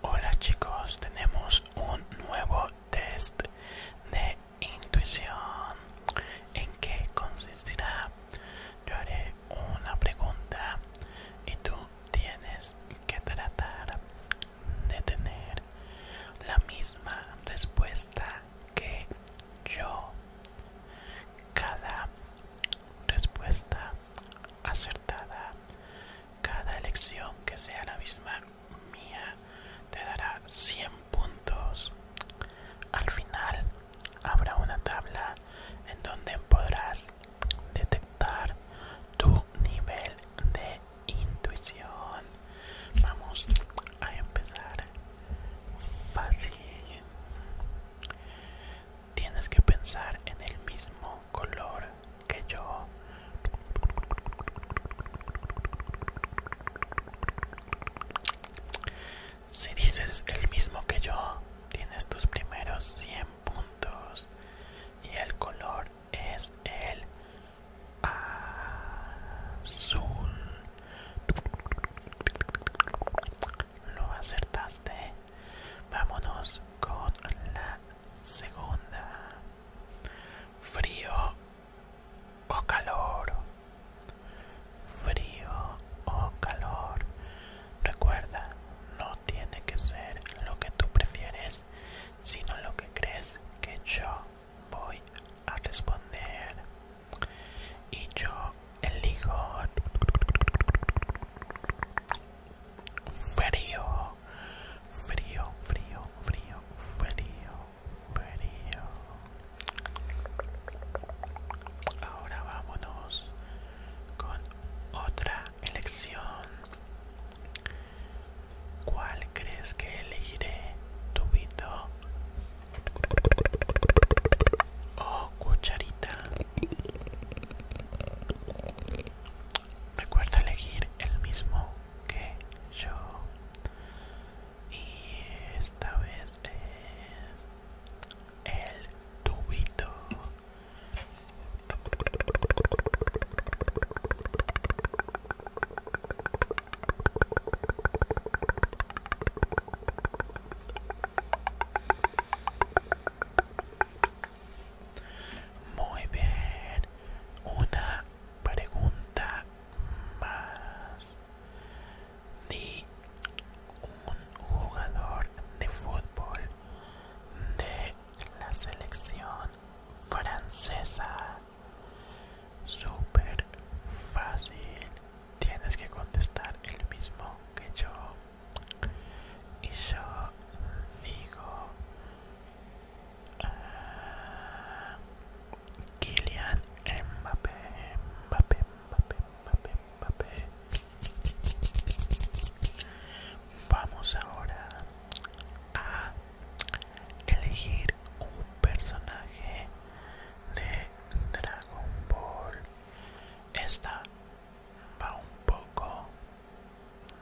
Hola chicos, tenemos un nuevo test de intuición. ¿En qué consistirá? Yo haré una pregunta y tú tienes que tratar de tener la misma respuesta que yo. Cada respuesta acertada. Cada elección que sea la misma mía te dará 100 puntos. Al final habrá una tabla en donde podrás detectar tu nivel de intuición. Vamos a empezar fácil tienes que pensar en el mismo color que yo. Si dices el mismo que yo, tienes tus primeros 100 puntos y el color es el azul. Lo acertaste Vámonos con la segunda. Frío o calor. Frío o calor. Recuerda, no tiene que ser lo que tú prefieres, sino lo que crees que yo voy a responder. Y yo elijo frío, frío, frío, frío, frío, frío. Ahora vámonos con otra elección. ¿Cuál crees que elegiré? ¿Tubito o oh, cucharita? Recuerda elegir el mismo que yo. Y esta vez es el tubito. Muy bien. Una pregunta más. Di un jugador de fútbol de la selección francesa. super fácil. Tienes que contestar el mismo que yo y yo digo Kilian ah, Kylian Mbappé, Mbappé, Mbappé, Mbappé. Vamos ahora a elegir un personaje de Dragon Ball esta va un poco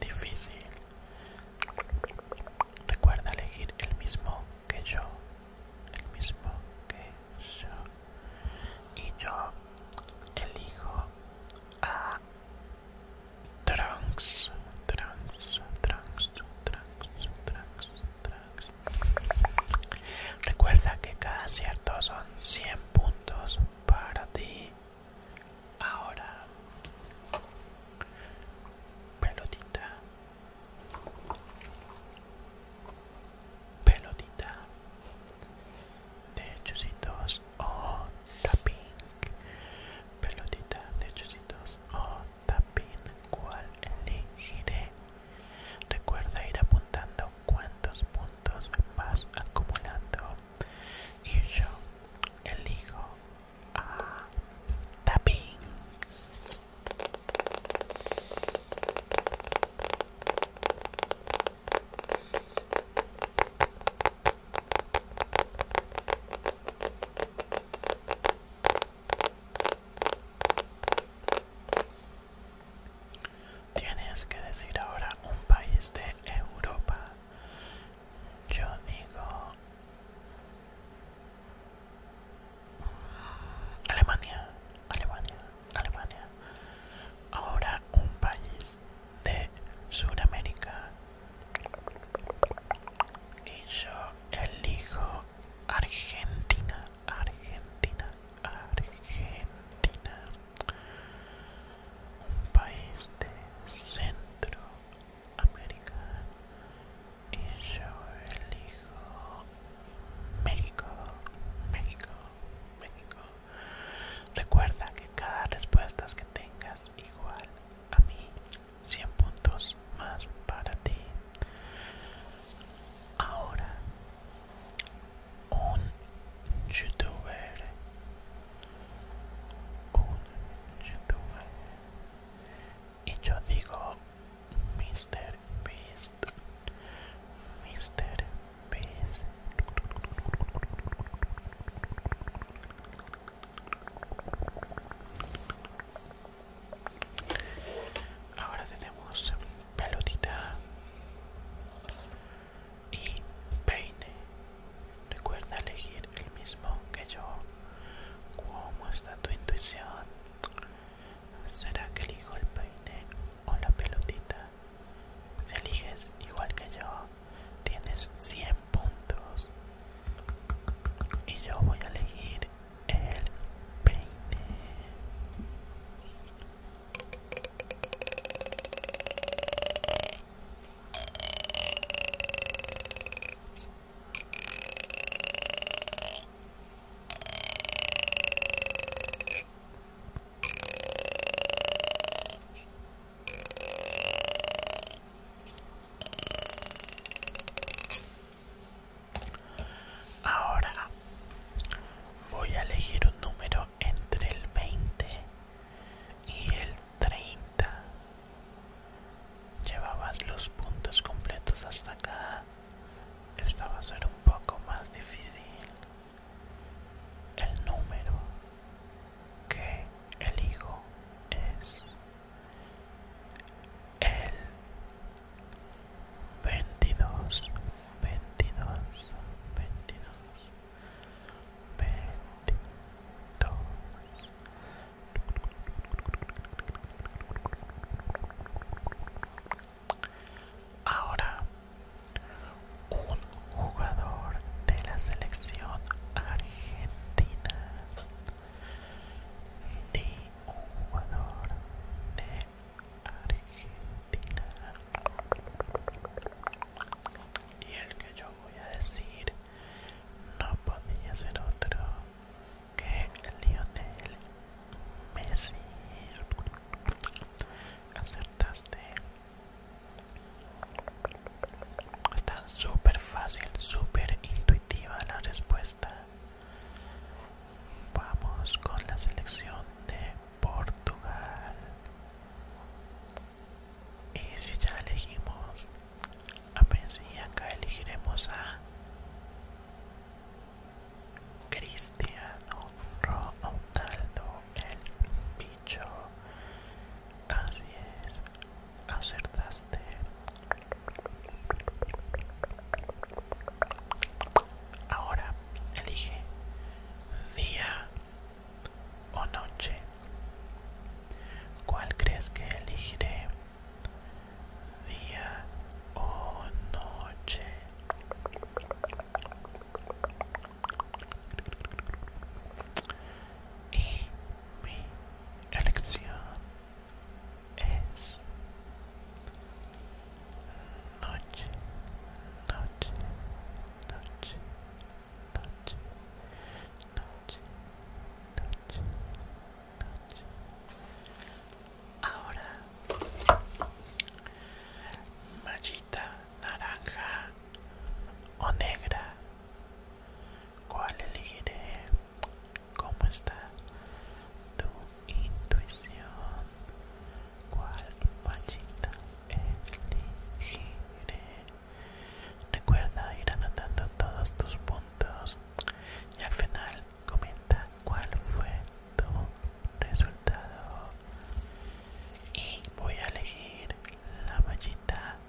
difícil. Recuerda elegir el mismo que yo. El mismo que yo. Y yo elijo a Trunks, Trunks, Trunks, Trunks, Trunks, Trunks. Recuerda que cada cierto son 100 puntos para ti. Ahora, pelotita, pelotita de o oh, tapping, pelotita de chusitos o oh, tapping. ¿Cuál elegiré Recuerda ir apuntando cuántos puntos vas acumulando. Y yo elijo a Tienes que decir ahora un país de Europa. Yo digo... Mm, Alemania, Alemania, Alemania. Ahora un país de Sudamérica. Y yo elijo Argentina, Argentina, Argentina. Un país de Centroamérica Y yo elijo México, México, México. Recuerda que cada respuesta que tengas igual a mí, 100 puntos más para ti. Ahora, un youtuber, un youtuber, y yo digo Mr. Beast, Mr. Beast. Ahora tenemos pelotita y peine. Recuerda elegir el mismo que yo. ¿Cómo está tu intuición? ¿Será que elijo el peine o la pelotita? Si eliges igual que yo, tienes 100 puntos y yo voy a elegir el peine Ahora voy a elegir un número entre el 20 y el 30. Llevabas los puntos completos hasta acá. Esta va a ser un poco más difícil. El número que elijo es el 22 22 22 22 Ahora, un jugador de la selección argentina de un jugador de Argentina. Y el que yo voy a decir no podía ser otro que el Lionel Messi. Acertaste. Está súper fácil, súper intuitiva la respuesta. Vamos con la selección de Portugal. Y si ya elegimos a Messi, acá elegiremos a Cristiano Ronaldo, el bicho. Así es, acertaste. Ahora elige día o noche. ¿Cuál crees que elegiré? Día o noche. Y mi elección es noche, noche, noche, noche, noche, noche, noche. Ahora, naranja o negra? ¿Cuál elegiré? ¿Cómo está tu intuición? ¿Cuál mallita elegiré? Recuerda ir anotando todos tus puntos y al final comenta cuál fue tu resultado. Y voy a elegir la mallita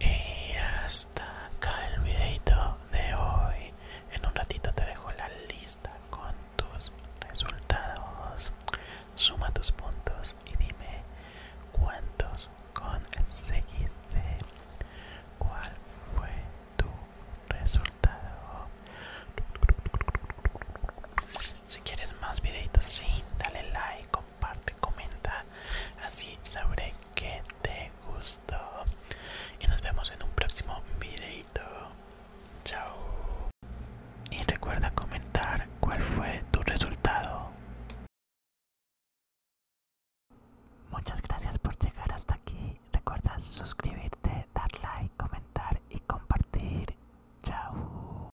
Y hasta acá el videito de hoy. En un ratito te dejo la lista con tus resultados. Suma tus puntos y dime cuántos conseguiste. ¿Cuál fue tu resultado? Si quieres más videitos, sí, dale like, comparte, comenta. Así sabré que te gustó. Y nos vemos en un próximo videito. Chao. Y recuerda comentar cuál fue tu resultado. Muchas gracias por llegar hasta aquí. Recuerda suscribirte, dar like, comentar y compartir. Chao.